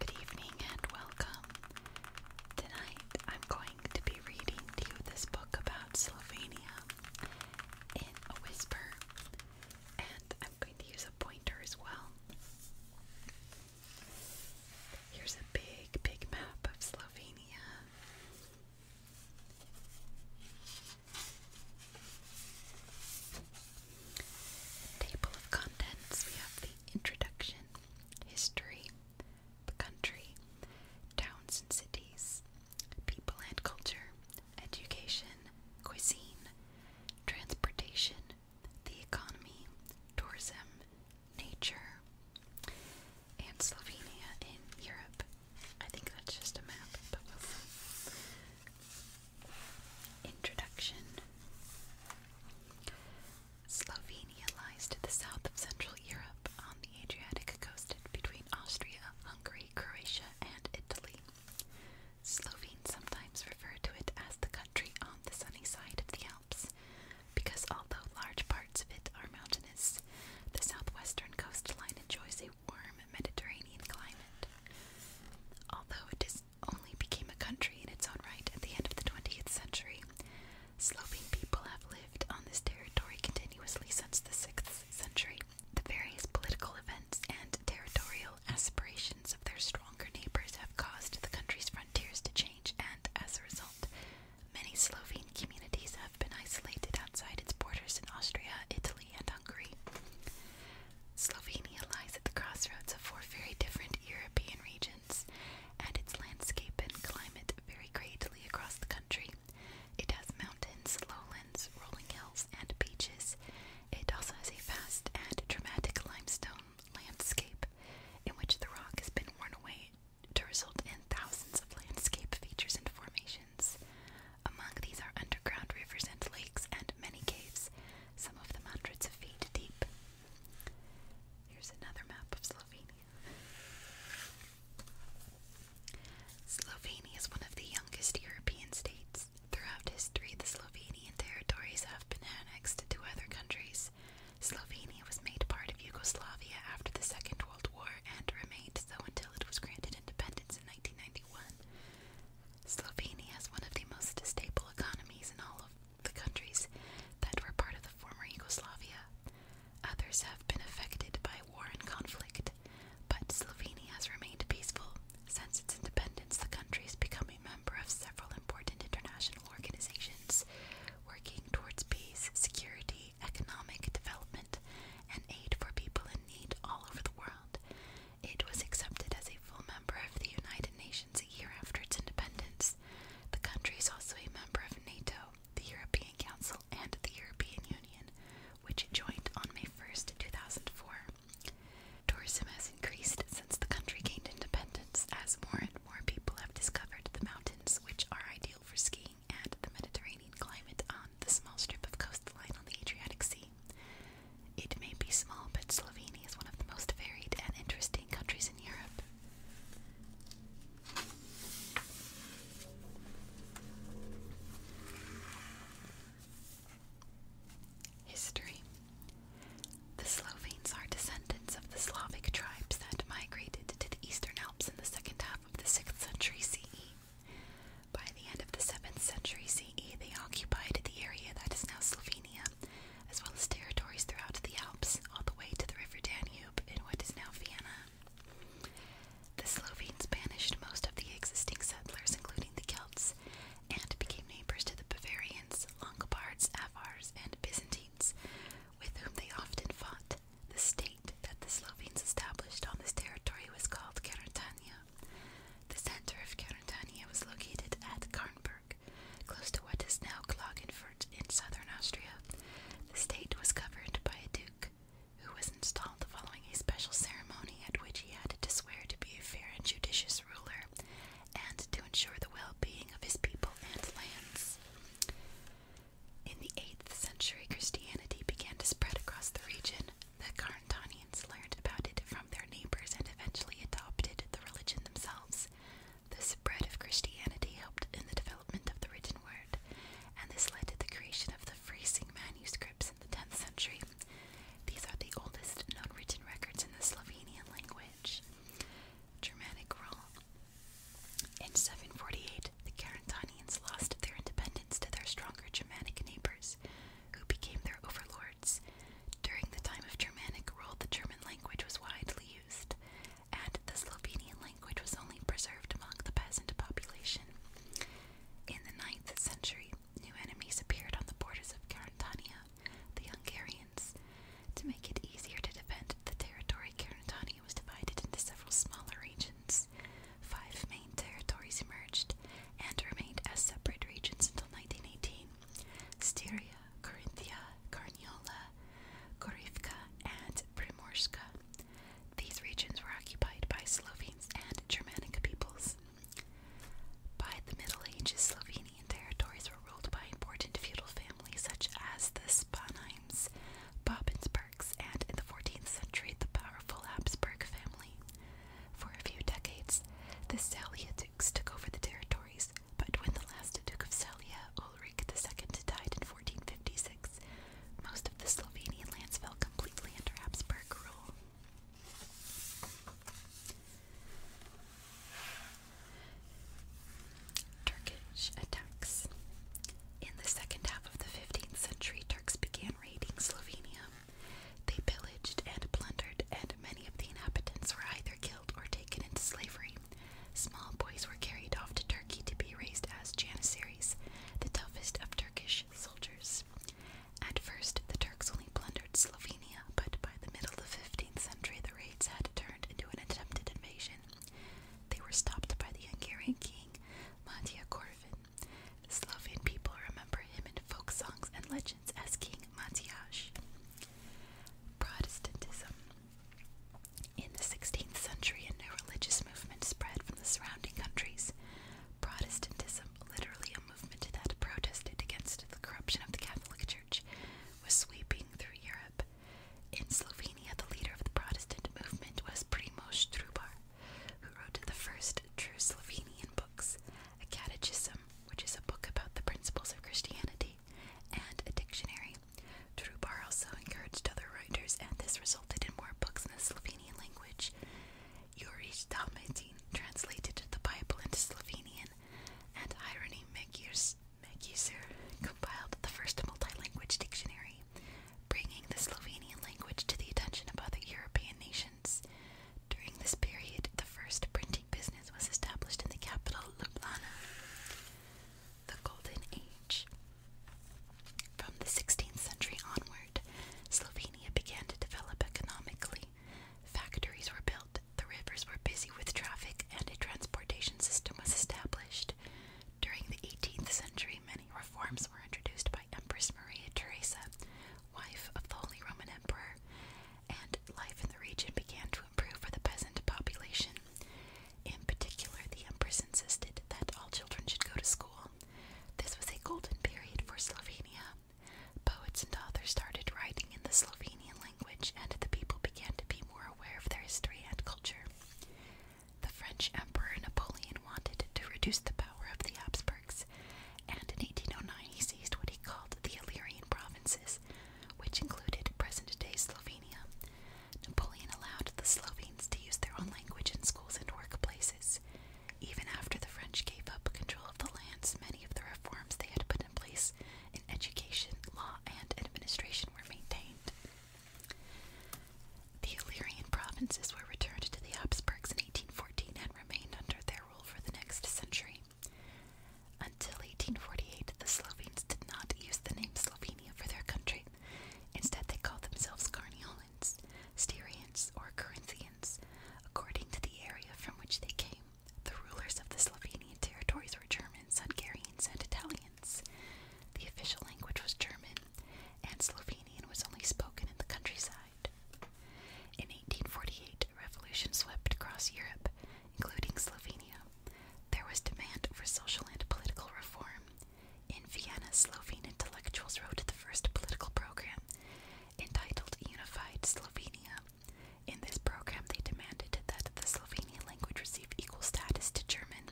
Good evening and welcome. Tonight I'm going to be reading you this book about Slovenia in a whisper, and I'm going to use a pointer as well. Here's a big, big map of Slovenia. Table of contents we have the introduction, history, the country, towns and cities, people and culture, education, cuisine, transportation, the economy, tourism, nature, and Slovenia in Europe. I think that's just a map, Introduction Slovenia lies to the south of Central Europe on the Adriatic coast between Austria, Hungary, Croatia, and Italy. Slovenes sometimes refer to it as the country on the sunny side of the Alps, because although large parts of it are mountainous, the southwestern coastline enjoys a warm Mediterranean climate. Although it is only became a country in its own right at the end of the 20th century, Slovene people have lived on this territory continuously since the 6th century. The various political events and territorial aspirations of their stronger neighbors have caused the country's frontiers to change, and as a result, many Slovene communities have been isolated outside its borders in Austria, Italy, and Hungary. Slovenia lies at the crossroads of four very different European regions, and its landscape and climate vary greatly across the country. It has mountains, lowlands, rolling hills, and beaches. It also has a vast and dramatic limestone landscape, in which the rock has been worn away to result in thousands of landscape features and formations. Among these are underground rivers and lakes, and many caves, some of them hundreds of feet deep. Here's another map of Slovenia. Slovenia is one of the youngest European states. Throughout history, the Slovene territories have been annexed to other countries. Slovenia was made part of Yugoslavia after the Second World War and remained so until it was granted independence in 1991. Slovenia has one of the most stable economies in all of the countries that were part of the former Yugoslavia. Others have been affected by war and conflict, but Slovenia has remained peaceful. Since its independence, the country is becoming member of several important international organizations working towards peace, security, economic development, and aid for people in need all over the world. It was accepted as a full member of the United Nations a year after its independence. The country is also a member of NATO, the European Council, and the European Union, which joined on May 1st, 2004. Tourism has increased since the country gained independence, as more and more people have discovered the mountains, which are ideal for skiing, and the Mediterranean climate on the small strip of coastline on the Adriatic Sea. It may be small, but Slovenia is one of the most varied and interesting countries in Europe. History the Slovenes are descendants of the Slavic tribes that migrated to the Eastern Alps in the second half of the 6th century CE. By the end of the 7th century CE, they occupied the area that is now Slovenia, as well as territories throughout the Alps, all the way to the river Danube in what is now Vienna. The Slovenes banished most of the existing settlers, including the Celts, and became neighbors to the Bavarians, Longobards, Avars, and Byzantines, with whom they often fought. The state that the Slovenes established on this territory was called Carantania. The center of Carantania was located at Karnberg, close to what is now Klagenfurt in southern Austria. The state was governed by a duke, who was installed following a special ceremony at which he had to swear to be a fair and judicious ruler and to ensure the well being of his people and lands. In the 8th century, Christianity began to spread across the region. The Carantanians learned about it from their neighbors and eventually adopted the religion themselves. The spread of Christianity helped in the development of the written word, and this led to the creation of the Frising manuscripts in the 10th century. These are the oldest known written records in the Slovenian language. Germanic role. In 748, the Carantanians lost their independence to their stronger Germanic neighbors, who became their overlords. During the time of Germanic rule, the German language was widely used, and the Slovenian language was only preserved among the peasant population. In the 9th century, new enemies appeared on the borders of Carantania, the Hungarians. To make it easier to defend, the territory Carantania was divided into several smaller regions. Five main territories emerged and remained as separate regions until 1918 Styria, Carinthia, Carniola, Gorivka, and Primorska. These regions were occupied by Slovenes and Germanic peoples. By the Middle Ages, Slovene. Albanian territories were ruled by important feudal families such as the Spanheims, Bobensbergs, and in the 14th century, the powerful Habsburg family. For a few decades, the Celia dukes took over the territories, but when the last Duke of Celia, Ulrich II, died in 1456, most of the Slovenian lands fell completely under Habsburg rule. Turkish attacks. In the second half of the 15th century, Turks began raiding Slovenia. They pillaged and plundered, and many of the inhabitants were either killed or taken into slavery. Small boys were carried off to Turkey to be raised as janissaries, the toughest of Turkish soldiers. At first, the Turks only plundered Slovenia, but by the middle of the 15th century, the raids had turned into an attempted invasion. They were stopped by the Hungarian king, Matija Korvin. The Slovian people remember him in folk songs and legends as King Matjaš. Protestantism. In the 16th century, a new religious movement spread from the surrounding countries. Protestantism, literally a movement that protested against the corruption of the Catholic Church was sweeping through Europe. In Slovenia, the leader of the Protestant movement was Primoš Trubar, who wrote the first true Slovenian books, a catechism, which is a book about the principles of Christianity, and a dictionary. Trubar also encouraged other writers, and this resulted in more books in the Slovenian language. Juriš Dalmatin translated the Bible into Slovenian, and Hieronym Megius Magyar compiled the first multi-language dictionary, bringing the Slovenian language to the attention of other European nations. During this period, the first printing business was established in the capital Ljubljana. The Golden Age. From the 16th century onward, Slovenia began to develop economically Factories were built, the rivers were busy with traffic, and a transportation system was established. During the 18th century, many reforms were introduced by Empress Maria Theresa, wife of the Holy Roman Emperor, and life in the region began to improve for the peasant population. In particular, the Empress insisted that all children should go to school. This was a golden period for Slovenia. Poets and authors started writing in the Slovene language, and the people began to be more aware of their history and culture. The French Emperor Napoleon wanted to reduce the power of the Habsburgs, and in 1809 he seized what he called the Illyrian provinces, which included present day Slovenia. Napoleon allowed the Slovenes to use their own language in schools and workplaces. Even after the French gave up control of the lands, many of the reforms they had put in place in education, law, and administration were maintained. The Illyrian provinces were returned to the Habsburgs in 1814 and remained under their rule for the next century. Until 1848, the Slovenes did not use the name Slovenia for their country. Instead, they called themselves Carniolans, Styrians, or Corinthians, according to the area from which they came. The rulers of the Slovenian territories were Germans, Hungarians, and Italians. The official language was German, and Slovenian was only spoken in the countryside. In 1848, a revolution swept across Europe, including Slovenia. There was demand for social and political reform. In Vienna, Slovene intellectuals wrote the first political program entitled Unified Slovenia in this program, they demanded that the Slovenian language receive equal status to German,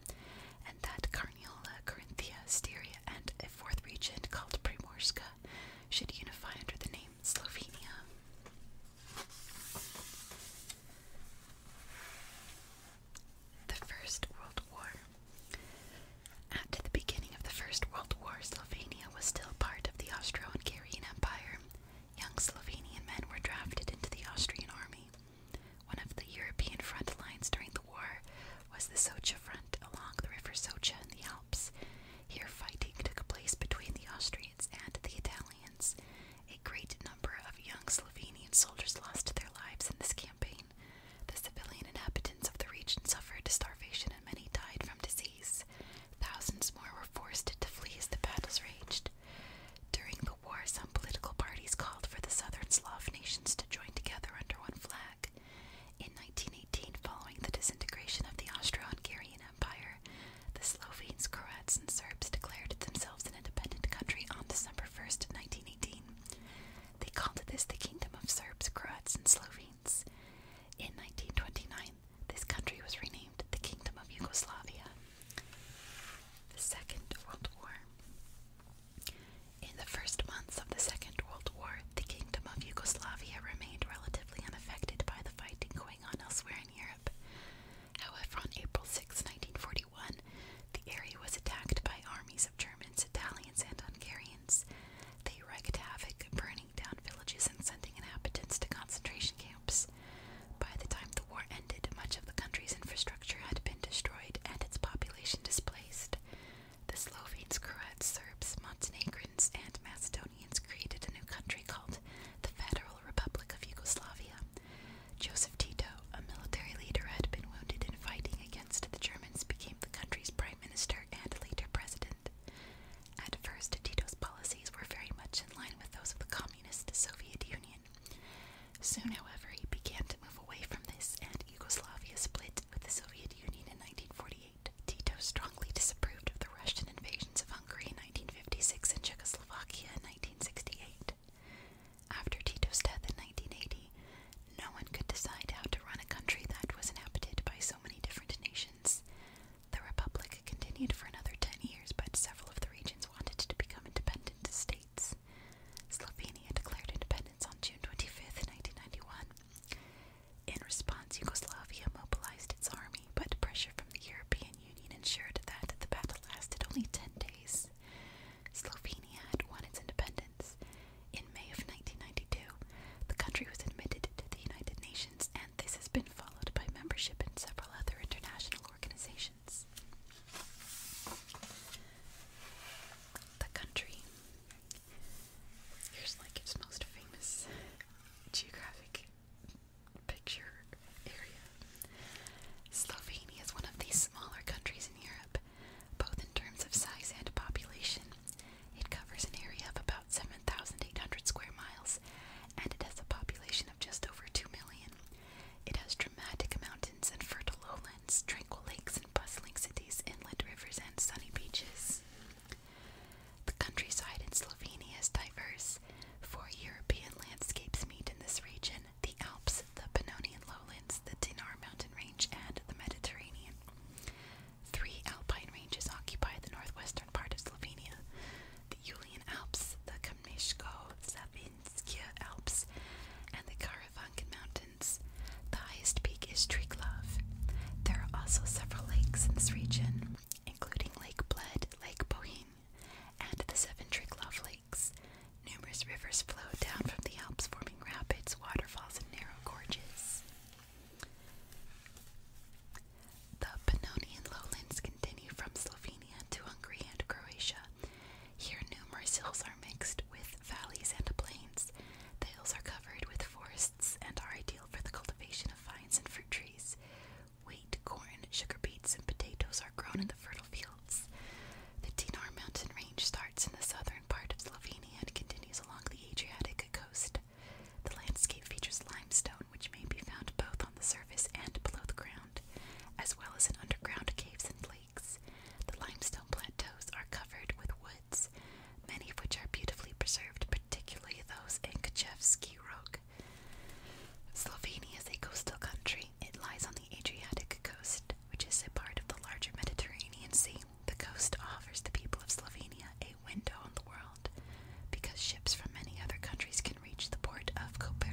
and that Carniola, Carinthia, Styria, and a fourth region called Primorska should unify under the name Slovenia. The First World War. At the beginning of the First World War, Slovenia was still part of the Austro Hungarian Empire Young Slovenian men were drafted into the Austrian army. One of the European front lines during the war was the Socha front along the river Socha in the Alps. Here, fighting took place between the Austrians and the Italians. A great number of young Slovenian soldiers lost their lives in this campaign. The civilian inhabitants of the region suffered starvation and many died from disease. Thousands more were forced to flee as the battles raged. During the war, some political parties called for the southern Slav nations to join together under one flag. In 1918, following the disintegration of the Austro Hungarian Empire, the Slovenes, Croats, and Serbs declared themselves an independent country on December 1st, 1918. They called this the Kingdom of Serbs, Croats, and Slovenes. In 1929, this country was renamed the Kingdom of Yugoslavia. The Second World War. In the first months of the Second World War, the Kingdom of Yugoslavia remained relatively unaffected by the fighting going on elsewhere in Europe. However, on April 6, 1941, the area was attacked by armies of Germans, Italians, and Hungarians. They wreaked havoc, burning down villages and sending inhabitants to concentration camps. By the time the war ended, much of the country's infrastructure had been destroyed and its population displaced. The Slovenes, Croats, Serbs, Montenegrins, and Macedonians created a new country called the Federal Republic of Yugoslavia. Joseph Tito, a military leader who had been wounded in fighting against the Germans, became the country's prime minister and later president. At first, Tito's policies were very much in line with those of the Communist Soviet Union. Soon, however, he began to move away from this, and Yugoslavia split with the Soviet Union in 1948. Tito strongly disapproved of the Russian invasions of Hungary in 1956 and Czechoslovakia in 1968. After Tito's death in 1980, no one could decide how to run a country that was inhabited by so many different nations. The Republic continued for another ten years, but several of the regions wanted to become independent states. Slovenia declared independence on June twenty fifth, 1991. In response, Yugoslavia mobilized its army, but pressure from the European Union ensured that the battle lasted only 10 days. Slovenia had won its independence. In May of 1992, the country was admitted to the United Nations this has been followed by membership in several other international organizations. The country. Here's like its most famous geographic picture area. Slovenia is one of the smaller countries in Europe, both in terms of size and population. It covers an area of about 7,800 square miles and it has a population of just over 2 million. It has dramatic mountains and fertile lowlands, tranquil lakes and bustling cities, inland rivers, and sunny beaches. The countryside in Slovenia is diverse. Four European landscapes meet in this region the Alps, the Pannonian lowlands, the Dinar mountain range, and the Mediterranean. Three alpine ranges occupy the northwestern part of Slovenia the Julian Alps, the Kamishko, Zabinsk Alps, and the Karavankan Mountains. The highest peak is Triglav. There are also several lakes in this region, including Lake Bled, Lake Bohin, and the seven Triglav lakes. Numerous rivers flow down from the Alps, forming rapids, waterfalls, and narrow gorges. The Pannonian lowlands continue from Slovenia to Hungary and Croatia. Here, numerous hills are mixed with valleys and plains. The hills are covered with forests and are ideal for the cultivation of vines and fruit trees. Wheat, corn, sugar beets, and potatoes are grown in the fertile fields. The Dinar mountain range starts in the southern part of Slovenia and continues along the Adriatic coast. The landscape features limestone, which may be found both on the surface and below the ground as well as in underground caves and lakes. The limestone plateaus are covered with woods, many of which are beautifully preserved, particularly those in Kachevsky Rog. Slovenia is a coastal country. It lies on the Adriatic coast, which is a part of the larger Mediterranean Sea. The coast offers the people of Slovenia a window on the world because ships from many other countries can reach the port of Koper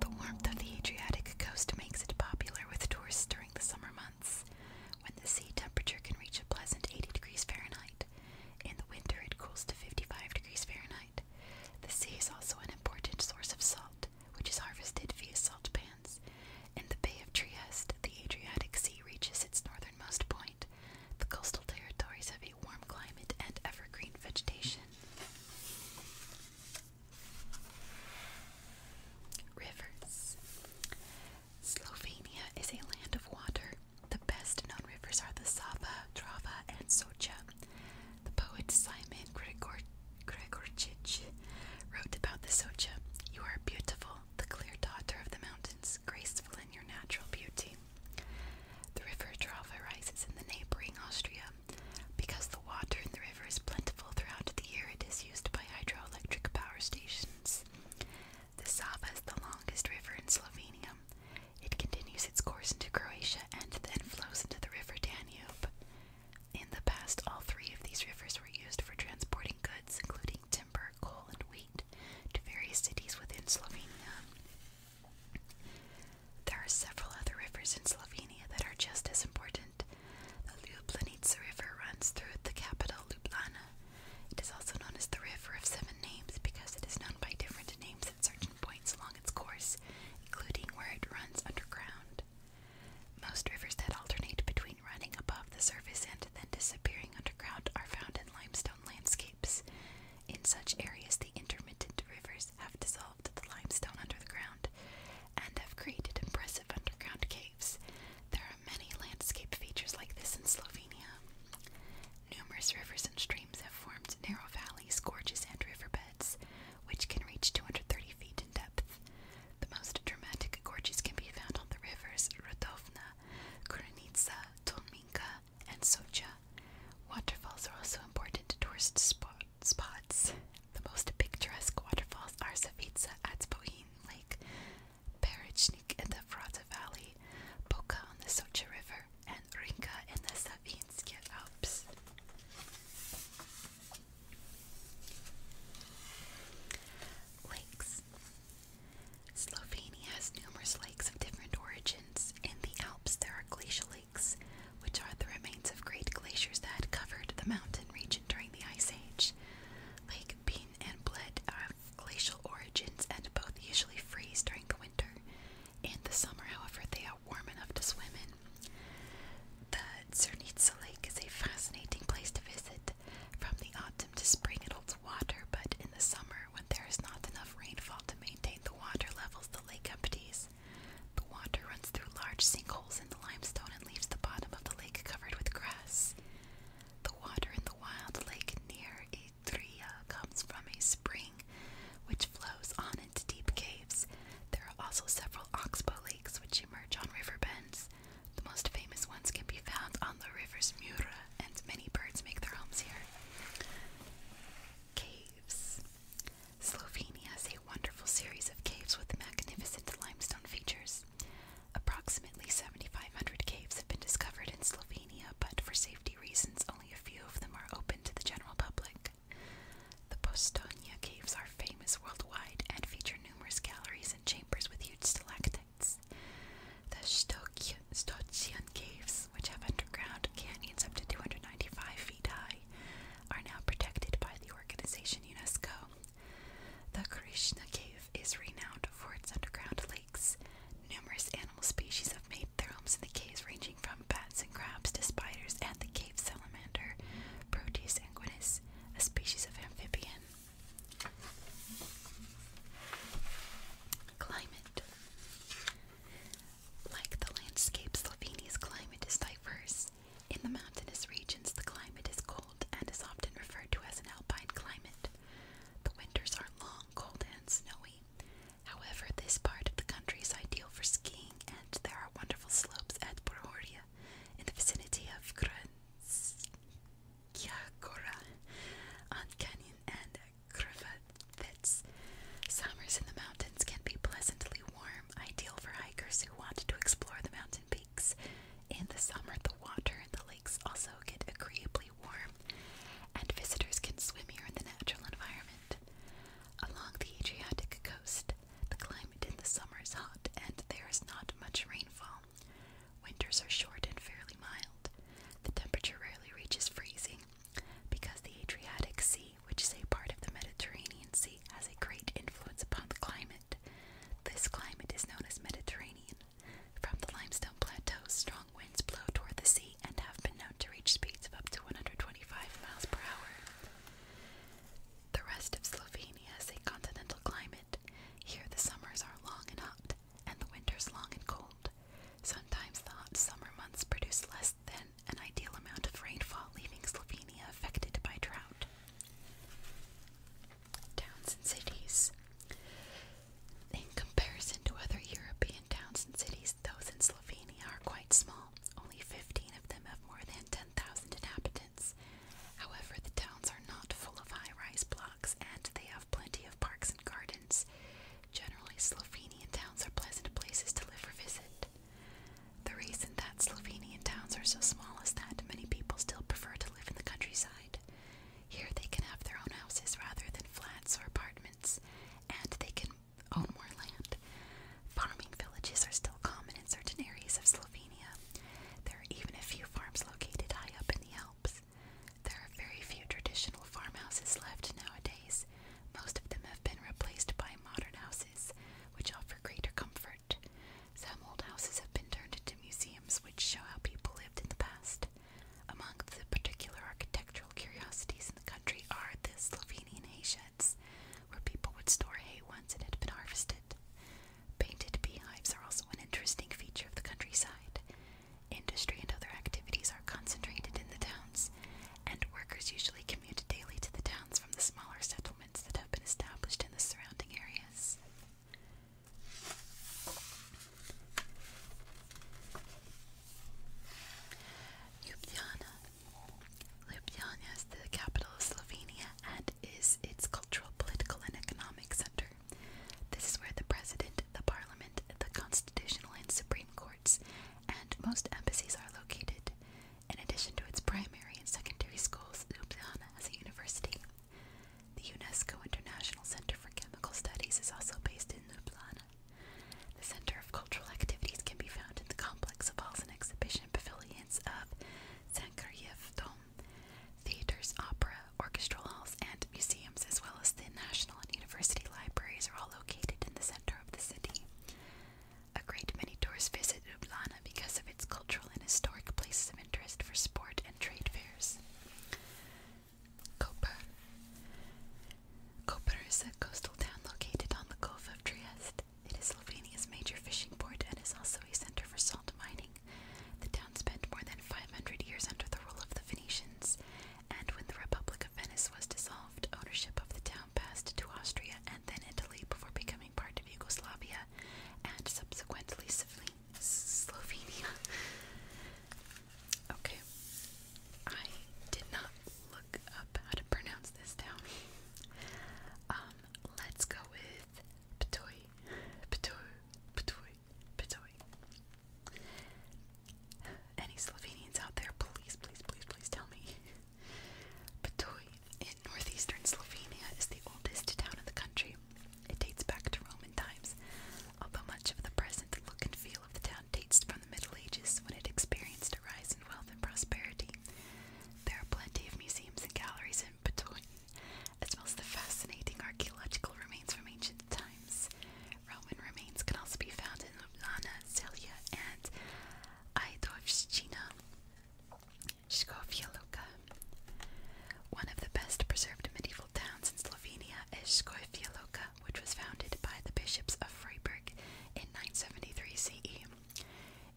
The warmth of the Adriatic coast makes it popular with tourists during the summer months, when the sea temperature can reach a pleasant 80 degrees Fahrenheit. In the winter, it cools to 55 degrees Fahrenheit. The sea is also an important source of salt, which is harvested via salt pans. In the Bay of Trieste, the Adriatic Sea reaches its northernmost point. The coastal territories have a warm climate and evergreen vegetation. Rivers. Slovenia is a land of water. The best known rivers are the Sava, Drava, and Socha. The poet Simon Gregor Gregorčić wrote about the Socha. You are beautiful, the clear daughter of the mountains, graceful in your natural beauty. The river Drava rises in the neighboring Austria. Because the water in the river is plentiful throughout the year, it is used by hydroelectric power stations. The Sava is the longest river in Slovenia. It continues its course into Croatia and then flows into the river Danube. In the past, all three of these rivers were used for transporting goods, including timber, coal, and wheat, to various cities within Slovenia. There are several other rivers in Slovenia that are just as important. The Ljubljanica River runs through the capital Ljubljana. It is also known as the River of Seven Names because it is known by different names at certain points along its course, including where it runs underground. Most rivers that alternate between running above the surface and then disappearing underground are found in limestone landscapes, in such areas, the intermittent rivers have dissolved the limestone under the ground and have created impressive underground caves. There are many landscape features like this in Slovenia. Numerous rivers and streams have formed narrow valleys, gorges, and riverbeds, which can reach 230 feet in depth. The most dramatic gorges can be found on the rivers Rodovna, Krunica, Tolminka, and Socha. Waterfalls are also important tourist spots. The most picturesque waterfalls are Savica at Bohin Lake, Perichnik in the Frata Valley, Boka on the Socha River, and Rinka in the Savinsk Alps. Lakes. Slovenia has numerous lakes of different origins. In the Alps, there are glacial which are the remains of great glaciers that covered the mountain region during the Ice Age. Lake Bean and Bled have glacial origins and both usually freeze during the winter. In the summer, however, they are warm enough to swim in. The Zernitsa Lake is a fascinating place to visit. From the autumn to spring, it holds water, but in the summer, when there is not enough rainfall to maintain the water levels, lake empties. The water runs through large sinkholes in the limestone and leaves the bottom of the lake covered with grass. The water in the wild lake near Etria comes from a spring which flows on into deep caves. There are also several oxbow lakes which emerge on river bends. The most famous ones can be found on the rivers Mura, and many birds make their homes here. Slovenia has a wonderful series of caves with magnificent limestone features. Approximately 7,500 caves have been discovered in Slovenia, but for safety reasons, only a few of them are open to the general public. The Postonia caves are famous worldwide and feature numerous galleries and chambers with huge stalactites. The Stokian Caves which have underground canyons up to 295 feet high, are now protected by the organization UNESCO. The Krishna Cave is renowned for its underground lakes. Numerous animal species have made their homes in the caves, ranging from bats and crabs to spiders and the cave salamander, Proteus sanguinis, a species of amphibian. Climate like the landscape, Slovenia's climate is diverse. In the mountainous regions, the climate is cold and is often referred to as an alpine climate. The winters are long, cold, and snowy. However, this part of the country is ideal for skiing, and there are wonderful slopes at Borhoria in the vicinity of Kranjska Gora on Canyon and crevettes. Summers in the mountains can be pleasantly warm, ideal for hikers who want to explore the mountain peaks. In the summer, the water and the lakes also get agreeably warm, and visitors can swim here in the natural environment. Along the Adriatic coast, the climate in the summer is hot and there is not much rainfall. Winters are short and fairly mild. The temperature rarely reaches freezing, because the Adriatic Sea, which is a part of the Mediterranean Sea, has a great influence upon the climate. This climate is known as Mediterranean. From the limestone plateaus, strong winds blow toward the sea and have been known to reach speeds of up to 125 miles per hour. The rest of Slovenia is a continental climate. Here the summers are long and hot, and the winters long and cold. Sometimes hot summer months produce less than an ideal amount of rainfall, leaving Slovenia affected by drought. Towns and cities. In comparison to other European towns and cities, those in Slovenia are quite small. Only 15 of them have more than 10,000 inhabitants. However, the towns are not full of high rise blocks and they have plenty of parks and gardens. Generally, Slovenian towns are pleasant places to live or visit. The reason that Slovenian towns are so small is that many people still prefer to live in the countryside. Here they can have their own houses rather than flats or apartments, and they can own more land. Farming villages are still common in certain areas of Slovenia. There are even a few farms located high up in the Alps. There are very few traditional farmhouses left nowadays, most of them have been replaced by modern houses, which offer greater comfort. Some old houses have been turned into museums, which show how people lived in the past. Among the particular architectural curiosities in the country are the Slovenian hay sheds, where people would store hay once it had been harvested. Painted beehives are also an interesting feature of the countryside. Industry and other activities are concentrated in the towns, and workers usually commute daily to the towns from the smaller settlements that have been established in the surrounding areas. Ljubljana. Ljubljana is the capital of Slovenia and is its cultural, political, and economic center. This is where the president, the parliament, the constitutional and supreme courts, and most embassies are located. In addition to its primary and secondary schools, Ljubljana has a university. The UNESCO International Center for Chemical Studies is also based in Ljubljana. The Center of Cultural Activities can be found in the complex of halls and exhibition pavilions of Sankaryev Dom, theaters, opera, orchestral halls, and museums, as well as the national and university libraries, are all located in the center of the city. A great many tourists visit Ublana because of its cultural and historic places of interest for sport and trade fairs. Koper. Koper is a coastal town located on the Gulf of Trieste. It is Slovenia's major fishing port and is also a center for salt mining. The town spent more than 500 years under the rule of the Venetians, and when the Republic of Venice was dissolved, ownership of the town passed to Austria and then Italy before becoming part of Yugoslavia and subsequently Slovenia. Okay, I did not look up how to pronounce this down. Um, let's go with Ptoy, Ptoy, Ptoy, Ptoy. Any Slovenians out there, please, please, please, please tell me. Ptuj in northeastern Slovenia is the oldest town in the country. It dates back to Roman times, although much of the present look and feel of the town dates from the Middle Ages when it experienced a rise in wealth and prosperity. There are plenty of museums and galleries in Ptuj, as well as the fascinating archaeological remains from ancient times. Roman remains can also be found in Ljubljana, Celje, and Idovščina. Skofja Luka. One of the best preserved medieval towns in Slovenia is Skofja Luka, which was founded by the bishops of Freiburg in 973 CE.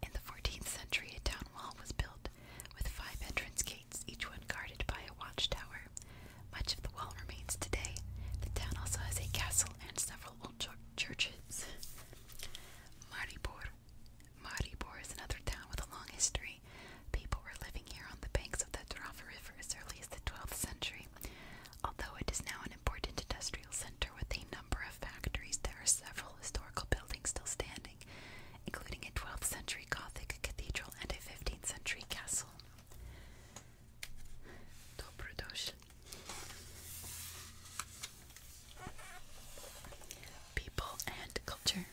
In the 14th century, a town wall was built with five entrance gates, each one guarded by a watchtower. Much of the wall remains today. The town also has a castle and several old churches. Maribor. Maribor is another town with a long history. People were living here on the banks of the Drava River as early as the 12th century, although it is now an important industrial center with a number of factories. There are several historical buildings still standing, including a 12th century Gothic cathedral and a 15th century castle. Dobrodošli. People and culture.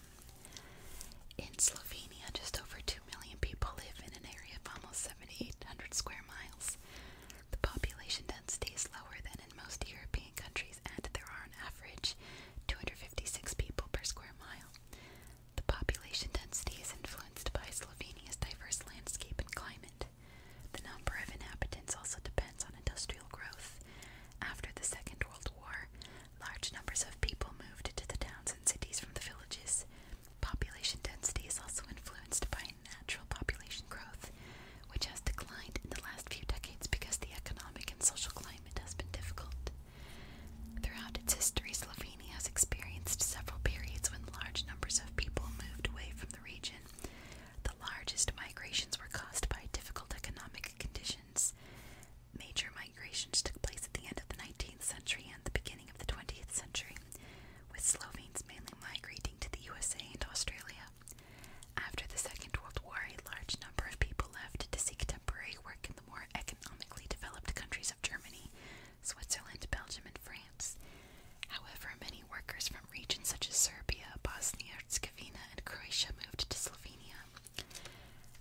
In Slovenia, just over 2 million people live in an area of almost 7,800 square miles. The population density is lower than in most European countries, and there are on average 256 people per square mile. The population density is influenced by Slovenia's diverse landscape and climate. The number of inhabitants also depends on industrial growth. After the Second World War, large numbers of people moved to the towns and cities from the villages. Population density is also influenced by natural population growth, which has declined in the last few decades because the economic and social climate has been difficult. Throughout its history, Slovenia has experienced several periods when large numbers of people moved away from the region. The largest migrations were caused by difficult economic conditions. Major migrations took place at the end of the 19th century and the beginning of the 20th century, with Slovenes mainly migrating to the USA and Australia. After the Second World War, a large number of people left to seek temporary work in the more economically developed countries of Germany, Switzerland, Belgium, and France. However, many workers from regions such as Serbia, Bosnia Herzegovina, and Croatia moved to Slovenia.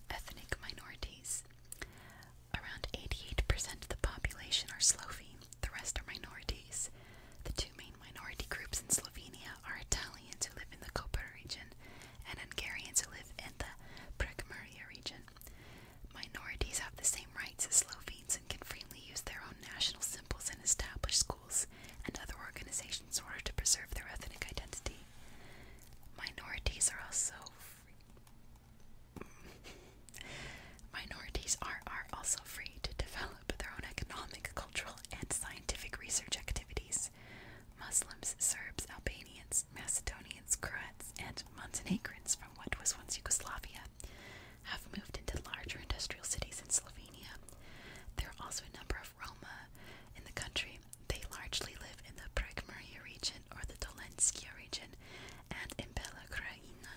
Ethnic minorities. Around 88% of the population are Slovene, the rest are minorities. The two main minority groups in Slovenia are Italians who live in the Kopar region and Hungarians who live in the Prekmeria region. Minorities have the same rights as Slovenes and can use their own national symbols and establish schools and other organizations in order to preserve their ethnic identity. Minorities are also Minorities are, are also free to develop their own economic, cultural, and scientific research activities. Muslims, Serbs, Albanians, Macedonians, Croats, and Montenegrins from what was once Yugoslavia have moved into larger industrial cities in Slovenia. There are also a number of Roma in the country. They largely live in the Prekmurje region or the Dolenska region and in Bela Krajina.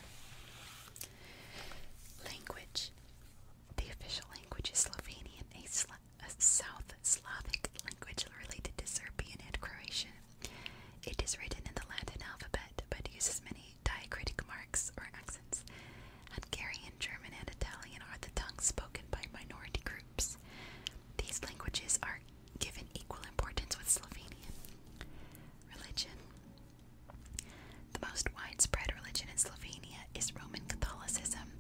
Language. The official language is Slovenian, a South Slavic language related to Serbian and Croatian. It is written in the Latin alphabet but uses many diacritic marks or accents. Hungarian, German, and Italian are the tongues spoken by minority groups. These languages are given equal importance with Slovenian. Religion The most widespread religion in Slovenia is Roman Catholicism,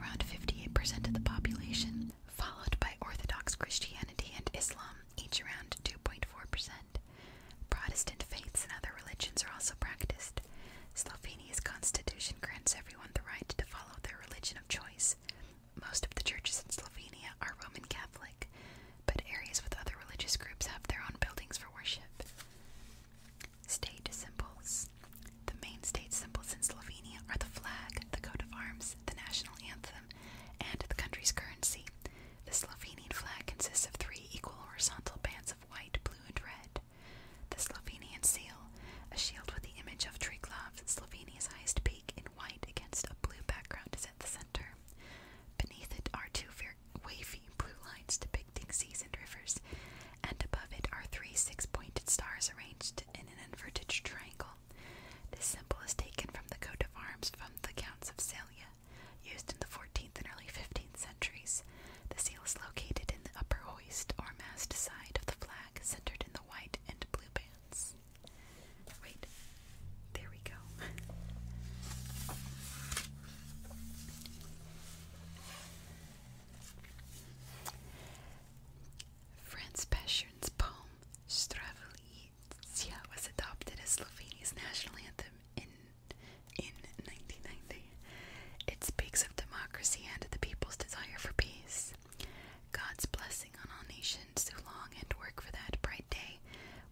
around 58% of the population, followed by Orthodox Christianity and Islam each around 2.4%. Protestant faiths and other religions are also practiced. Slovenia's constitution grants everyone the right to follow their religion of choice. Most of the churches in Slovenia are Roman Catholic, but areas with other religious groups have their own buildings for worship. State symbols. The main state symbols in Slovenia are the flag, the coat of arms, the national anthem, and the country's currency. The Slovenian flag consists of three equal horizontal bands of white, blue, and red. The Slovenian seal, a shield with the image of Triglav, Slovenia's highest peak, in white against a blue background, is at the center. Beneath it are two wavy blue lines depicting seas and rivers, and above it are three six pointed stars arranged in an inverted triangle. This symbol is taken from the coat of arms from the Counts of Celia, Used in the 14th and early 15th centuries, the seal is located in the upper hoist or mast side of the flag, centered in the white and blue bands. Wait, there we go. Franz Paschen's poem Stravulitsia was adopted as Slovenia's national anthem in in 1990. It speaks of democracy and the people's desire for peace. God's blessing on all nations who long and work for that bright day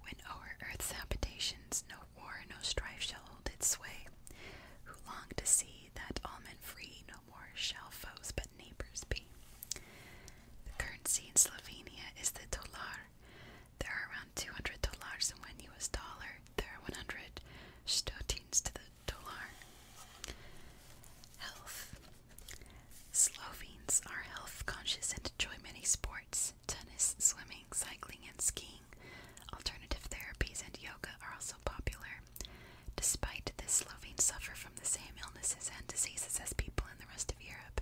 when o'er earth's habitations no war, no strife shall hold its sway. Who long to see that all men free, no more shall foes but neighbors be. The currency in Slovenia is the tolar there are around 200 dollars in one US dollar. There are 100 stotins to the dollar. Health. Slovenes are health conscious and enjoy many sports. Tennis, swimming, cycling, and skiing. Alternative therapies and yoga are also popular. Despite this, Slovenes suffer from the same illnesses and diseases as people in the rest of Europe.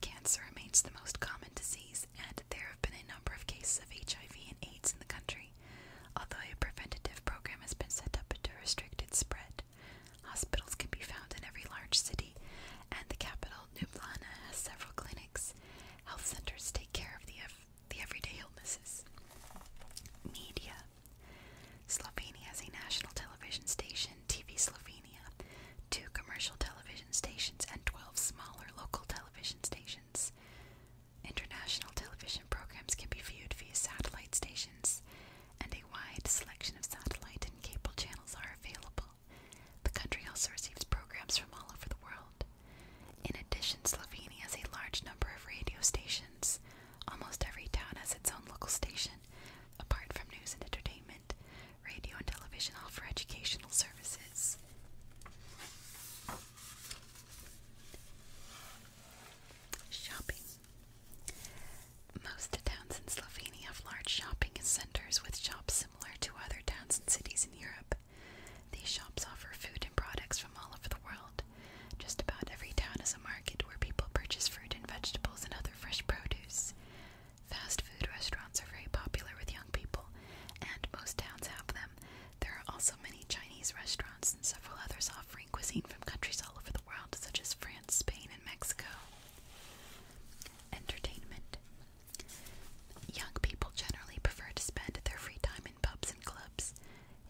Cancer remains the most common disease, and there have been a number of cases of HIV and AIDS in the country, although a preventative program has been set up to restrict its spread. Hospitals can be found in every large city, and the capital, Ljubljana, has several clinics. Health centers take care of the, the everyday illnesses. Media Slovenia has a national television station, TV Slovenia two commercial television stations, and 12 smaller local television stations. International television programs can be viewed via satellite stations, and a wide selection of satellite and cable channels are available. The country also receives programs from all over the world. In addition, Slovenia has a large number of radio stations. Almost every town has its own local station, apart from news and entertainment radio and television offer educational services. Shopping. Most towns in Slovenia have large shopping centers with shops similar to other towns and cities in Europe. These shops offer food and products from all over the world. Just about every town has a market where people purchase fruit and vegetables and other fresh produce. Fast food restaurants are very popular with young people, and most towns have them. There are also many Chinese restaurants and several others offering cuisine from countries all over the world, such as France, Spain, and Mexico. Entertainment. Young people generally prefer to spend their free time in pubs and clubs.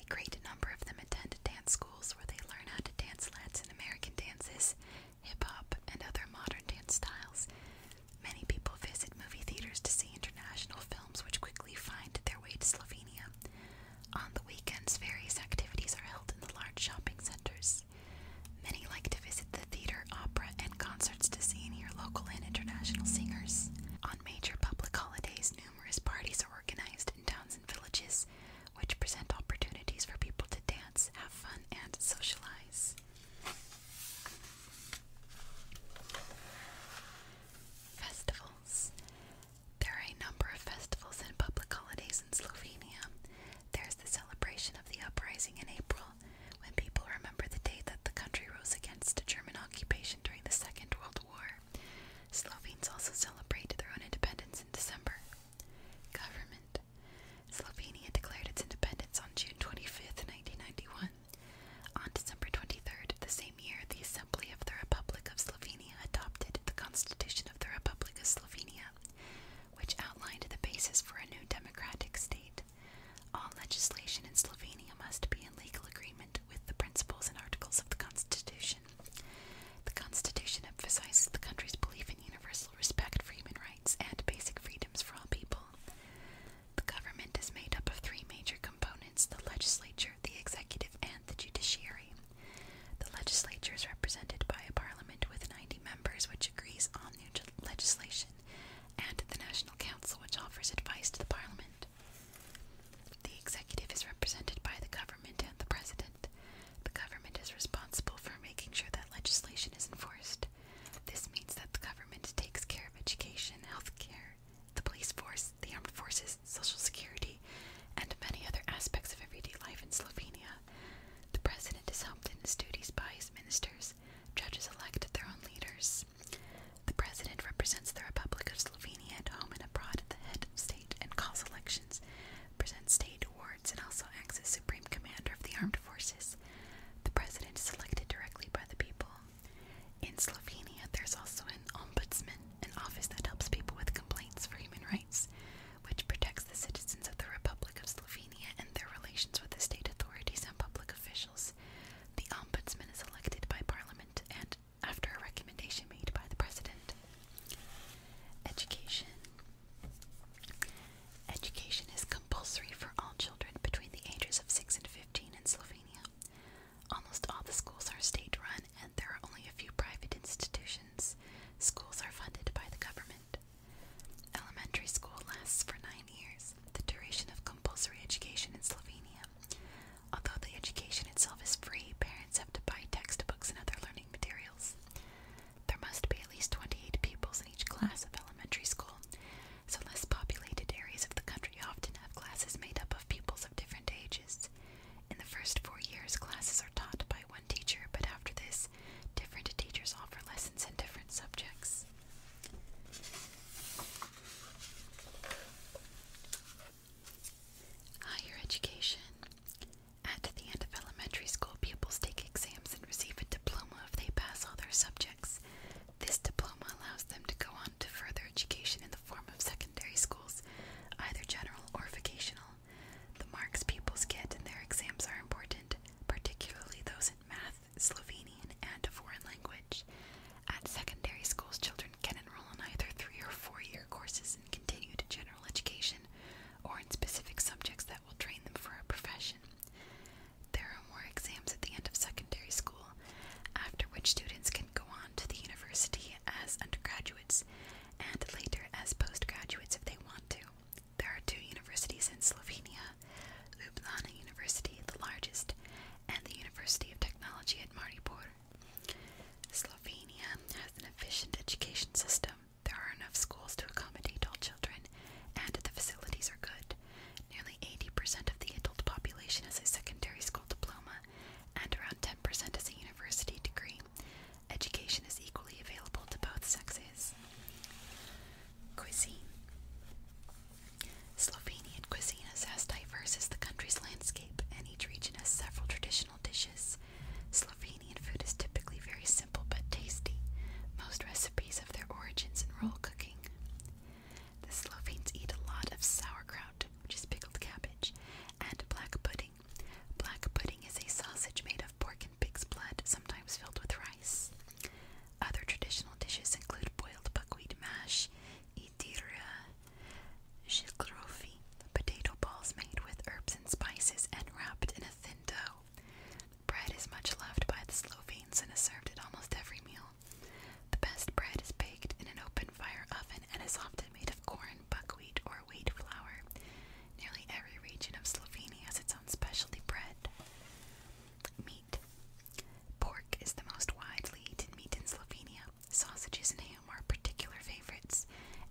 A great number of them attend dance schools where they learn how to dance Latin American dances hip hop, and other modern dance styles. Many people visit movie theaters to see international films, which quickly find their way to Slovenia. On the weekends, various activities are held in the large shopping centers. Many like to visit the theater, opera, and concerts to see and local and international singers. On major public holidays, numerous parties are organized in towns and villages, which present opportunities for people to dance, have fun, and socialize. Festivals. There are a number of festivals and public holidays in Slovenia. There's the celebration of the uprising in April, when people remember the day that the country rose against the German occupation during the Second World War. Slovenes also celebrate their own independence in December. Government. Slovenia declared its independence on June twenty fifth, 1991. On December 23rd, the same year, the Assembly of the Republic of Slovenia adopted the Constitution of the Republic of Slovenia, which outlined the basis for a new democratic state. All legislation in Slovenia must be in legal agreement with the principles and articles of the Constitution. The Constitution emphasizes the country's belief in universal respect for human rights and basic freedoms for all people. The government is made up of three major components the legislature, the executive, and the judiciary. The legislature is represented by a parliament with 90 members, which agrees on new legislation, and the National Council, which offers advice to the parliament. The executive is represented by the government and the president. The government is responsible for making sure that legislation is enforced. This means that the government takes care of education, health care, the police force, the armed forces, social security, and many other aspects of everyday life in Slovenia. The president is helped in his duties by his ministers. Judges elect their own leaders. The president represents the Republic of Slovenia at home and abroad at the head of state and calls elections, presents state awards, and also acts as supreme commander of the armed forces. The president is elected directly by the people. In Slovenia, there's also an ombudsman, an office that helps people with complaints for human rights, which protects the citizens of the Republic of Slovenia and their relations with the state authorities and public officials. The ombudsman is elected by parliament and after a recommendation made by the president. Education. Education is compulsory for all children between the ages of 6 and 15 in Slovenia. Almost all the schools are state run, and there are only a few private institutions. Schools are funded by the government. Elementary school lasts for nine years, the duration of compulsory education in Slovenia. Although the education itself is free, parents have to buy textbooks and other learning materials. There must be at least 28 pupils in each class of elementary school, so less populated areas of the country often have classes made up of pupils of different ages. In the first four years, classes are taught by one teacher, but after this, different teachers offer lessons in different subjects. Higher education. At the end of elementary school, pupils take exams and receive a diploma if they pass all their subjects. This diploma allows them to go on to further education in the form of secondary schools, either general or vocational. The marks pupils get in their exams are important, particularly those in math, Slovenian, and a foreign language. At secondary schools, children can enroll in either three or four year courses and continue to general education, or in specific subjects that that will train them for a profession. There are more exams at the end of secondary school, after which students can go on to the university as undergraduates and later as postgraduates if they want to. There are two universities in Slovenia Ljubljana University, the largest, and the University of Technology at Maribor. Slovenia has an efficient education system. There are enough schools to accommodate all children, and the facilities are good. Nearly 80% of the adult population has a secondary school diploma, and around 10% has a university degree. Education is equally available to both sexes. Cuisine Slovenian cuisine is as diverse as the country's landscape, and each region has several traditional dishes. Slovenian food is typically very simple but tasty. Most recipes have their origins in rural cooking the Slovenes eat a lot of sauerkraut, which is pickled cabbage, and black pudding. Black pudding is a sausage made of pork and pig's blood, sometimes filled with rice. Other traditional dishes include boiled buckwheat mash, idiria, shilgrofi, potato balls made with herbs and spices and wrapped in a thin dough. Bread is much loved by the Slovenes and is served at almost every meal. The best bread is baked in an open fire oven and is often made of corn, buckwheat, or wheat flour. Nearly every region of Slovenia has its own specialty bread. Meat. Pork is the most widely eaten meat in Slovenia. Sausages and ham are particular favorites,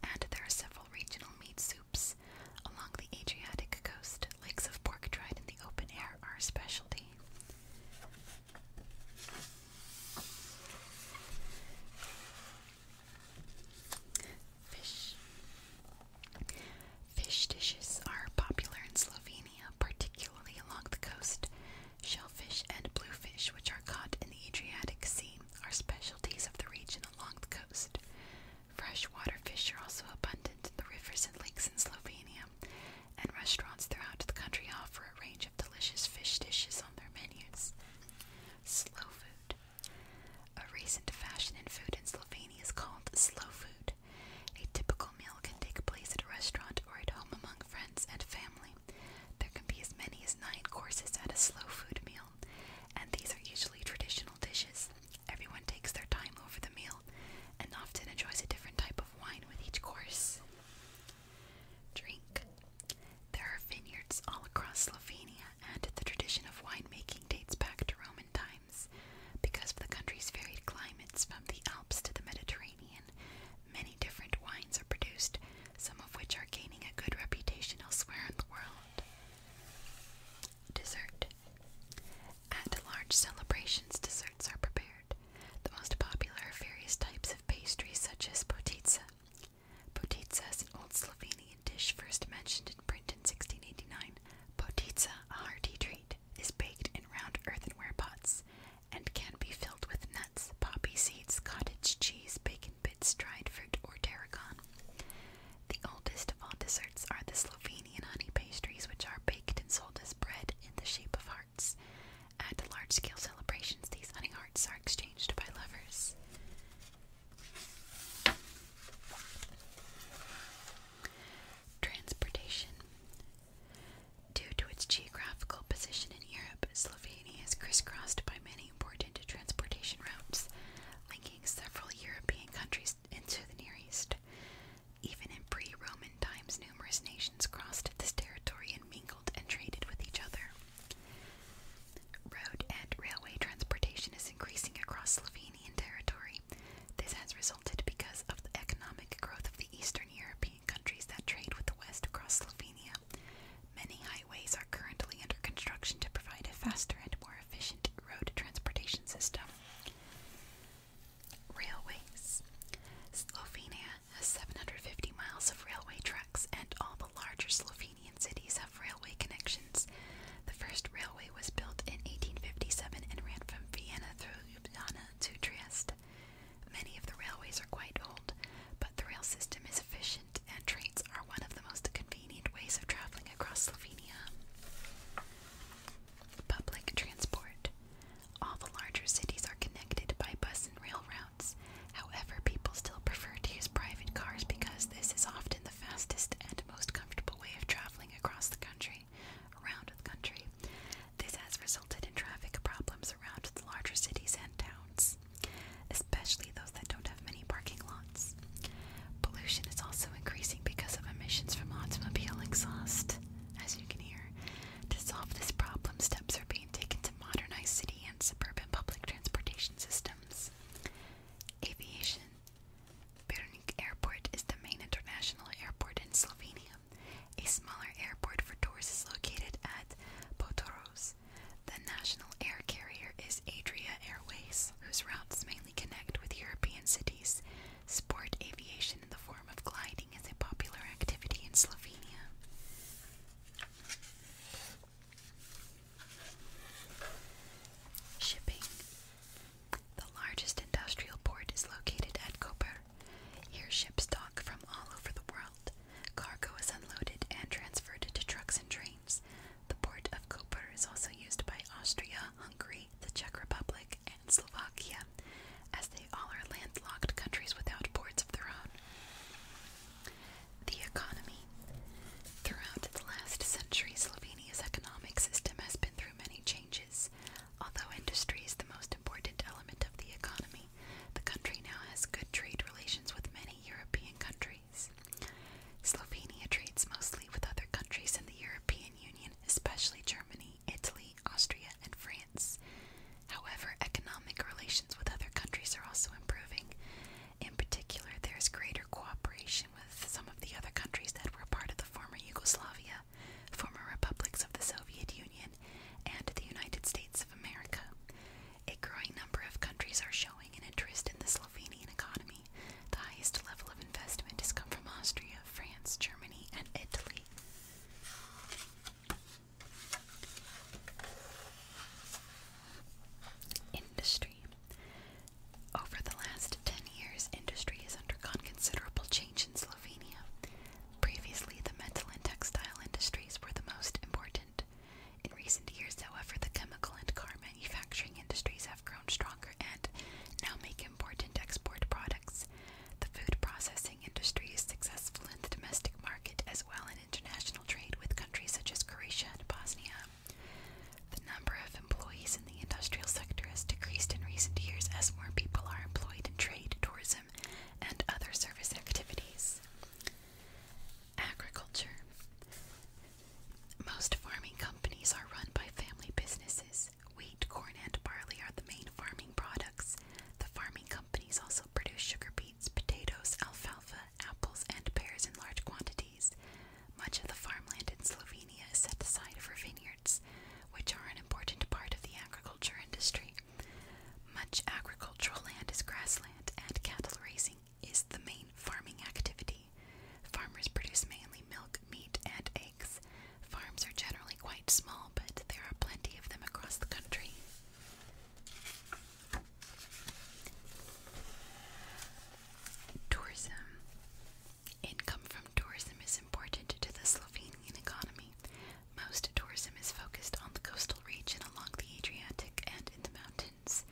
and there are several regional meat soups. Along the Adriatic coast, lakes of pork dried in the open air are especially Fish dishes are popular in Slovenia, particularly along the coast. Shellfish and bluefish, which are caught in the Adriatic Sea, are specialties of the region along the coast. Freshwater fish are also abundant in the rivers and lakes in Slovenia and restaurants throughout the country offer a range of delicious fish dishes on their menus. Slow food. A recent fashion in food in Slovenia is called slow food. A typical meal can take place at a restaurant or at home among friends and family. There can be as many as nine courses at a slow food meal, and these are usually traditional dishes. Everyone takes their time over the meal and often enjoys a different type of wine with each course. Drink. There are vineyards all across Slovenia, and the tradition of winemaking dates back to Roman times. Because of the country's varied climates, from the Alps to the Mediterranean, many different wines are produced, some of which are gaining a good reputation elsewhere in the world. Dessert. At large celebrations, desserts are prepared. The most popular are various types of pastries, such as potica. Potica is an old Slovenian dish first mentioned in print in 1689. Potica, a hearty treat, is baked in round earthenware pots and can be filled with nuts, poppy seeds, cottage cheese, bacon bits, dried fruit, or tarragon. The oldest of all desserts are the Slovenian. And honey pastries, which are baked and sold as bread in the shape of hearts. At large scale celebrations, these honey hearts are exchanged by lovers. Transportation. Due to its geographical position in Europe, Slovenia is crisscrossed by many important transportation routes, linking several European countries into the Near East. Even in pre Roman times, numerous nations crossed this territory and mingled and traded with each other. Road and railway transportation is increasing across Slovenian territory. This has resulted because of the economic growth of the Eastern European countries that trade with the West across Slovenia. Many highways are currently under construction to provide a faster and more efficient road transportation system. Railways. Slovenia has 750 miles of railway tracks, and all the larger Slovenian cities have railway connections. The first railway was built in 1857 and ran from Vienna through Ljubljana to Trieste. Many of the railways are quite old, but the rail system is efficient, and trains are one of the most convenient ways of traveling across Slovenia. Public transport. All the larger cities are connected by bus and rail routes. However, people still prefer to use private cars because this is often the fastest and most comfortable way of traveling across the country, around the country. This has resulted in traffic problems around the larger cities and towns, especially those that don't have many parking lots. Pollution is also increasing because of emissions from automobile exhaust. As you can hear, to solve this problem, steps are being taken to modernize city and suburban public transportation systems. Aviation Bernik Airport is the main international airport in Slovenia. A smaller airport for tours is located at Potoros. The national air carrier is Adria Airways, whose routes mainly connect with European cities. Sport aviation in the form of gliding is a popular activity in Slovenia. Shipping. The largest industrial port is located at Koper. Here, ships dock from all over the world. Cargo is unloaded and transferred to trucks and trains. The port of Koper is also used by Austria, Hungary, the Czech Republic, and Slovakia, as they all are landlocked countries without ports of their own. The economy. Throughout the last century, Slovenia's economic system has been through many changes. Although industry is the most important element of the economy, the country now has good trade relations with many European countries. Slovenia trades mostly with other countries in the European Union, especially Germany. Italy, Austria, and France. However, economic relations with other countries are also improving. In particular, there is greater cooperation with some of the other countries that were part of the former Yugoslavia, former republics of the Soviet Union, and the United States of America. A growing number of countries are showing an interest in the Slovenian economy. The highest level of investment has come from Austria, France, Germany, and Italy. Industry. Over the last 10 years, industry has undergone considerable change in Slovenia. Previously, the metal and textile industries were the most important. In recent years, however, the chemical and car manufacturing industries have grown stronger and now make important export products. The food processing industry is successful in the domestic market as well in international trade with countries such as Croatia and Bosnia. The number of employees in the industrial sector has decreased in recent years as more people are employed in trade, tourism, and other service activities. Agriculture. Most farming companies are run by family businesses wheat, corn, and barley are the main farming products. The farming companies also produce sugar beets, potatoes, alfalfa, apples, and pears in large quantities. Much of the farmland in Slovenia is set aside for vineyards, which are an important part of the agriculture industry. Much agricultural land is grassland, and cattle raising is the main farming activity. Farmers produce mainly milk, meat, and eggs. Farms are generally quite small, but there are plenty of them across the country. Tourism. Income from tourism is important to the Slovenian economy. Most tourism is focused on the coastal region along the Adriatic and in the mountains.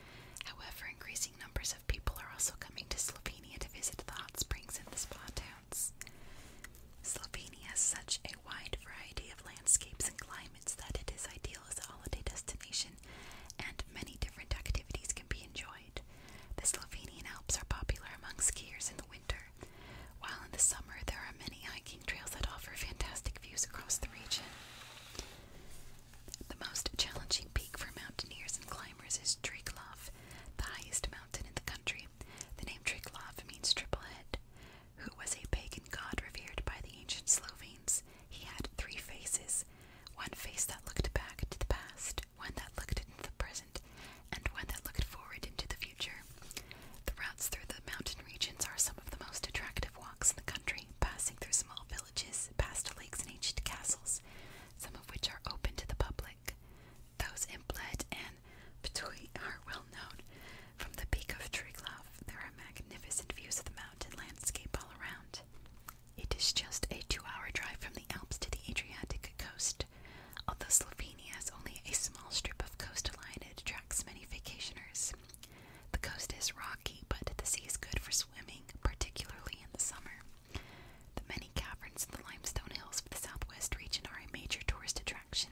However, increasing numbers of people are also coming to Slovenia to visit the hot springs in the spa town. Slovenia has such a wide variety of landscapes and climates that it is ideal as a holiday destination, and many different activities can be enjoyed. The Slovenian Alps are popular among skiers in the winter, while in the summer there are many hiking trails that offer fantastic views across the region. The most challenging peak for mountaineers and climbers is Triglav, the highest mountain in the country the name Triglav means triple head, who was a pagan god revered by the ancient Slovenes. He had three faces one face that looked back to the past, one that looked into the present, and one that looked forward into the future. The routes through the mountain regions are some of the most attractive walks in the country, passing through small villages, past lakes, and ancient castles, some of which are open to the public. Those in Bled and Betui are well known. From the peak of Triglav, there are magnificent views of the mountain landscape all around. It is just a two hour drive from the Alps to the Adriatic coast. Although Slovenia has only a small strip of coastline, it attracts many vacationers. The coast is rocky, but the sea is good for swimming, particularly in the summer. The many caverns in the limestone hills of the southwest region are a major tourist attraction.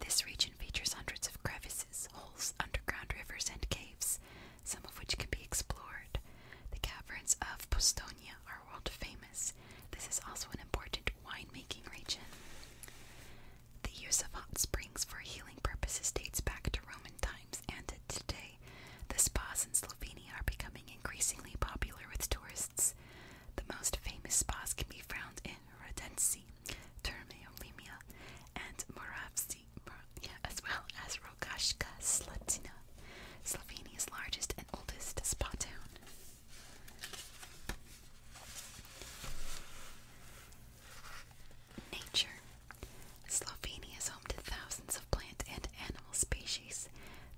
This region features hundreds of crevices, holes, underground rivers, and caves, some of which can be explored. The caverns of Postonia are world famous. This is also an important wine-making region. The use of hot springs for healing purposes dates back to Roman times and today. The spas in Slovenia are becoming increasingly popular with tourists. The most famous spas can be found in Rodensi, Termeolemia, and Moravci, as well as Rogashka Slatina, Slovenia's largest and oldest spa town. Nature. Slovenia is home to thousands of plant and animal species.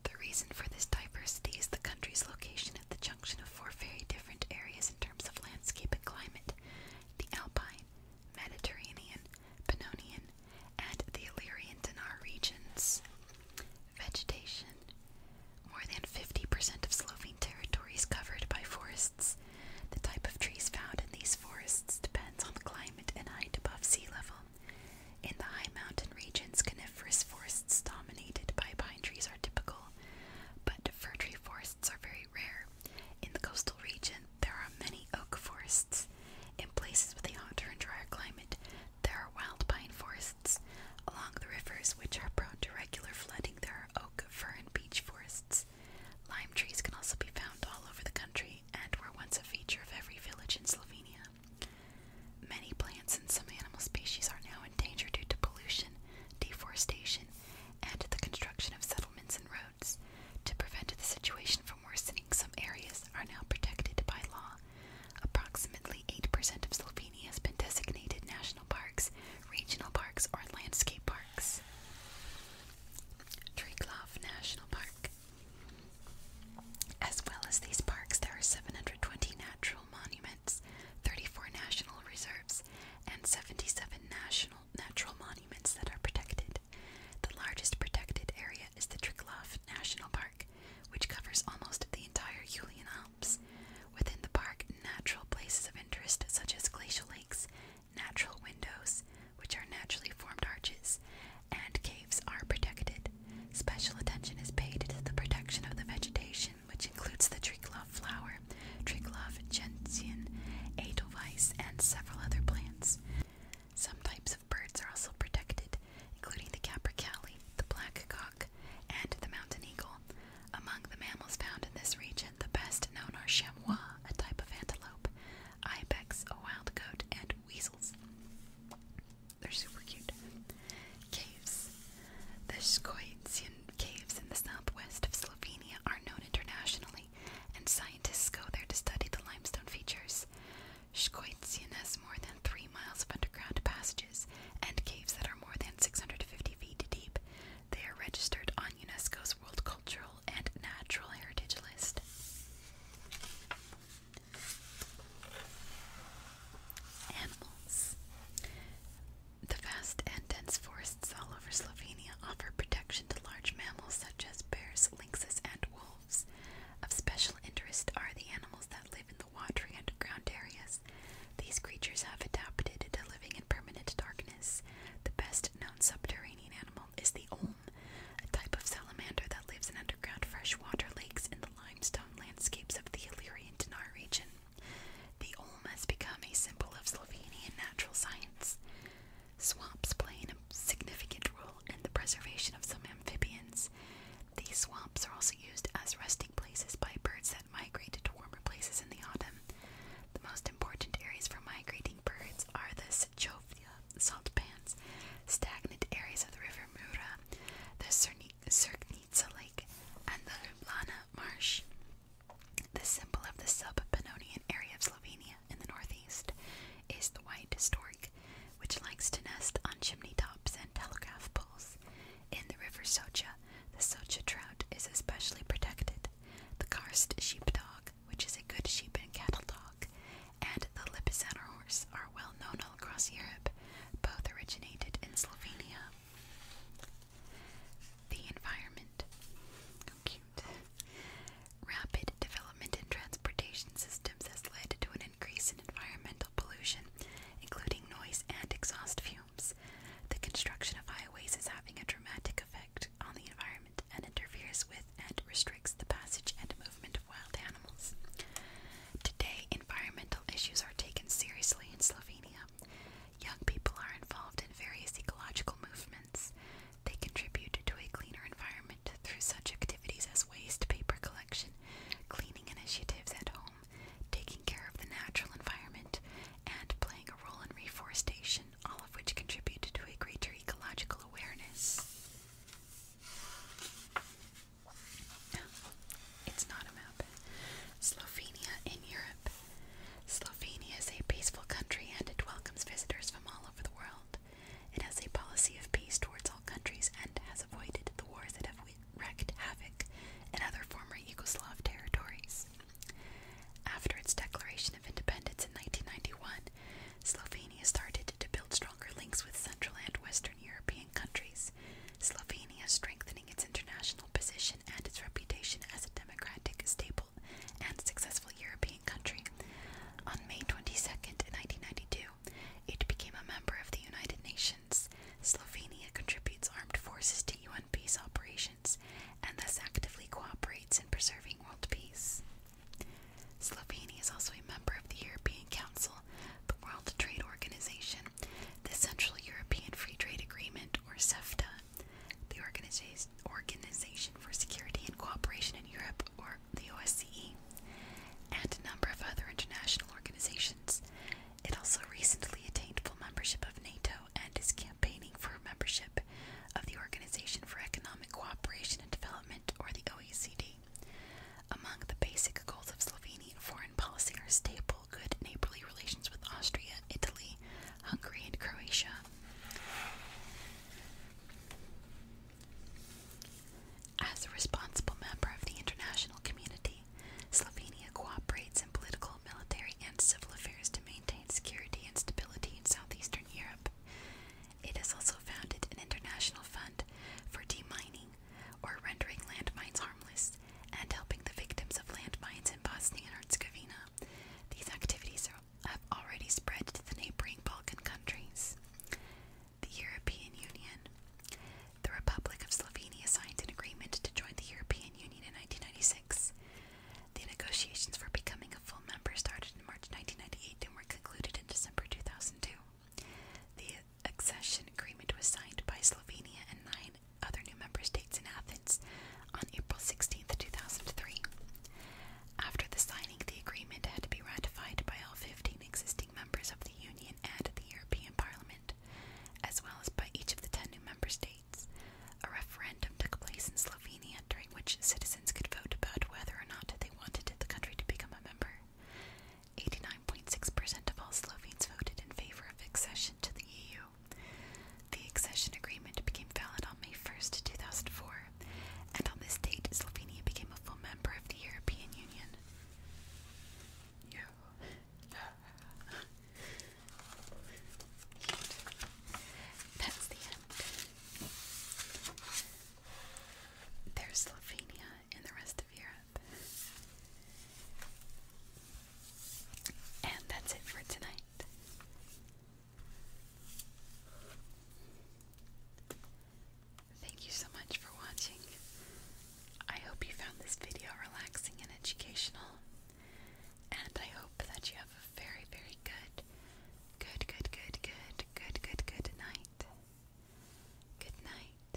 The reason for this diversity is the country's location at the junction of four very different areas in terms of landscape and climate the Alpine, Mediterranean, Pannonian, and the Illyrian Dinar regions. Vegetation More than 50% of Slovene territory is covered by forests. The type of trees found in these forests depends on the climate and height above sea level. In the high mountain regions, coniferous forests dominated by pine trees are typical, but fir tree forests are very rare. In the coastal region, there are many oak forests. In places with a hotter and drier climate, there are wild pine forests. Along the rivers, which are prone to regular flooding, there are oak, fir, and beech forests. Lime trees can also be found all over the country and were once a feature of every village in Slovenia. Many plants and some animal species are now in danger due to pollution, deforestation, and the construction of settlements and roads. To prevent the situation from worsening, some areas are now protected by law. Approximately 8% of Slovenia has been designated national parks, regional parks, or landscape parks. Triglav National Park. As well as these parks, there are 720 nat monuments, 34 national reserves, and 77 national natural monuments that are protected. The largest protected area is the Triglav National Park, which covers almost the entire Julian Alps. Within the park, natural places of interest such as glacial lakes, natural windows, which are naturally formed arches, and caves are protected. Special attention is paid to the protection of the vegetation, which includes the triglav flower, triglav gentian, edelweiss, and several other plants. Some types of birds are also protected, including the capercaillie, the black cock, and the mountain eagle. Among the mammals found in this region, the best known are chamois, a type of antelope, ibex, a wild goat, and weasels. They're super cute. Caves. The Skoitian caves in the southwest of Slovenia are known internationally, and scientists go there to study the limestone features. Skoitian has more than three miles of underground passages and caves that are more than 650 feet deep. They are registered on UNESCO's World Cultural and Natural Heritage List. Animals. The vast and dense forests all over Slovenia offer protection to large mammals such as bears, lynxes, and wolves. Of special interest are the animals that live in the watery underground areas. These creatures have adapted to living in permanent darkness. The best known subterranean animal is the olm, a type of salamander that lives in underground freshwater lakes in the limestone landscapes of the Illyrian Dinar region, the olm has become a symbol of Slovenian natural science, swamps play a significant role in the preservation of some amphibians. These swamps are also used as resting places by birds that migrate to warmer places in the autumn. The most important areas for migrating birds are the Sechovia salt pans, stagnant areas of the river Mura, the Cerni Cirknica Lake, and the Lublana Marsh, the symbol of the sub-Pannonian area of Slovenia in the northeast, is the white stork, which likes to nest on chimney tops and telegraph poles. In the river Socha, the Socha trout is especially protected. The Karst sheepdog, which is a good sheep and cattle dog, and the Lipizzaner horse are well known all across Europe, both originated in Slovenia. The environment. Oh, Rapid development in transportation systems has led to an increase in environmental pollution, including noise and exhaust fumes. The construction of highways is having a dramatic effect on the environment and interferes with and restricts the passage and movement of wild animals. Today, environmental issues are taken seriously in Slovenia. Young people are involved in various ecological movements. They contribute to a cleaner environment through such activities as waste paper collection, cleaning initiatives at home, taking care of the natural environment, and playing a role in reforestation, all of which contribute to a greater ecological awareness it's not a map. Slovenia in Europe. Slovenia is a peaceful country and it welcomes visitors from all over the world. It has a policy of peace towards all countries and has avoided the wars that have wreaked havoc in other former Yugoslav territories. After its declaration of independence in 1991, Slovenia started to build stronger links with Central and Western European countries. Slovenia Albania strengthening its international position and its reputation as a democratic, stable, and successful European country. On May 22, 1992, it became a member of the United Nations. Slovenia contributes armed forces to UN peace operations and thus actively cooperates in preserving world peace. Slovenia is also a member of the European Council the World Trade Organization, the Central European Free Trade Agreement, or CEFTA, the Organization for Security and Cooperation in Europe, or the OSCE, and a number of other international organizations. It also recently attained full membership of NATO and is campaigning for membership of the Organization for Economic Cooperation and Development, or the OECD. Among the basic goals of Slovenian foreign policy are stable, good neighborly relations with Austria, Italy, Hungary, and Croatia. As a responsible member of the international community, Slovenia cooperates in political, military, and civil affairs to maintain security and stability in southeastern Europe. It has also founded an international fund for demining or rendering landmines harmless, and helping the victims of landmines in Bosnia and Herzegovina. These activities have already spread to the neighboring Balkan countries. The European Union. The Republic of Slovenia signed an agreement to join the European Union in 1996. The negotiations for becoming a full member started in March 1998 and were concluded in December 2002. The accession agreement was signed by Slovenia and nine other new member states in Athens on April 16, 2003. After the signing, the agreement had to be ratified by all 15 existing members of the Union and the European Parliament, as well as by each of the 10 new member states. A referendum took place in Slovenia during which citizens could vote about whether or not they wanted the country to become a member. 89.6% of all Slovenes voted in favor of accession to the EU. The accession agreement became valid on May 1, 2004, and on this date, Slovenia became a full member of the European Union. That's the end. There's Slovenia and the rest of Europe. And that's it for tonight. Thank you so much for watching. I hope you found this video relaxing and educational. And I hope that you have a very, very good, good, good, good, good, good, good, good night. Good night.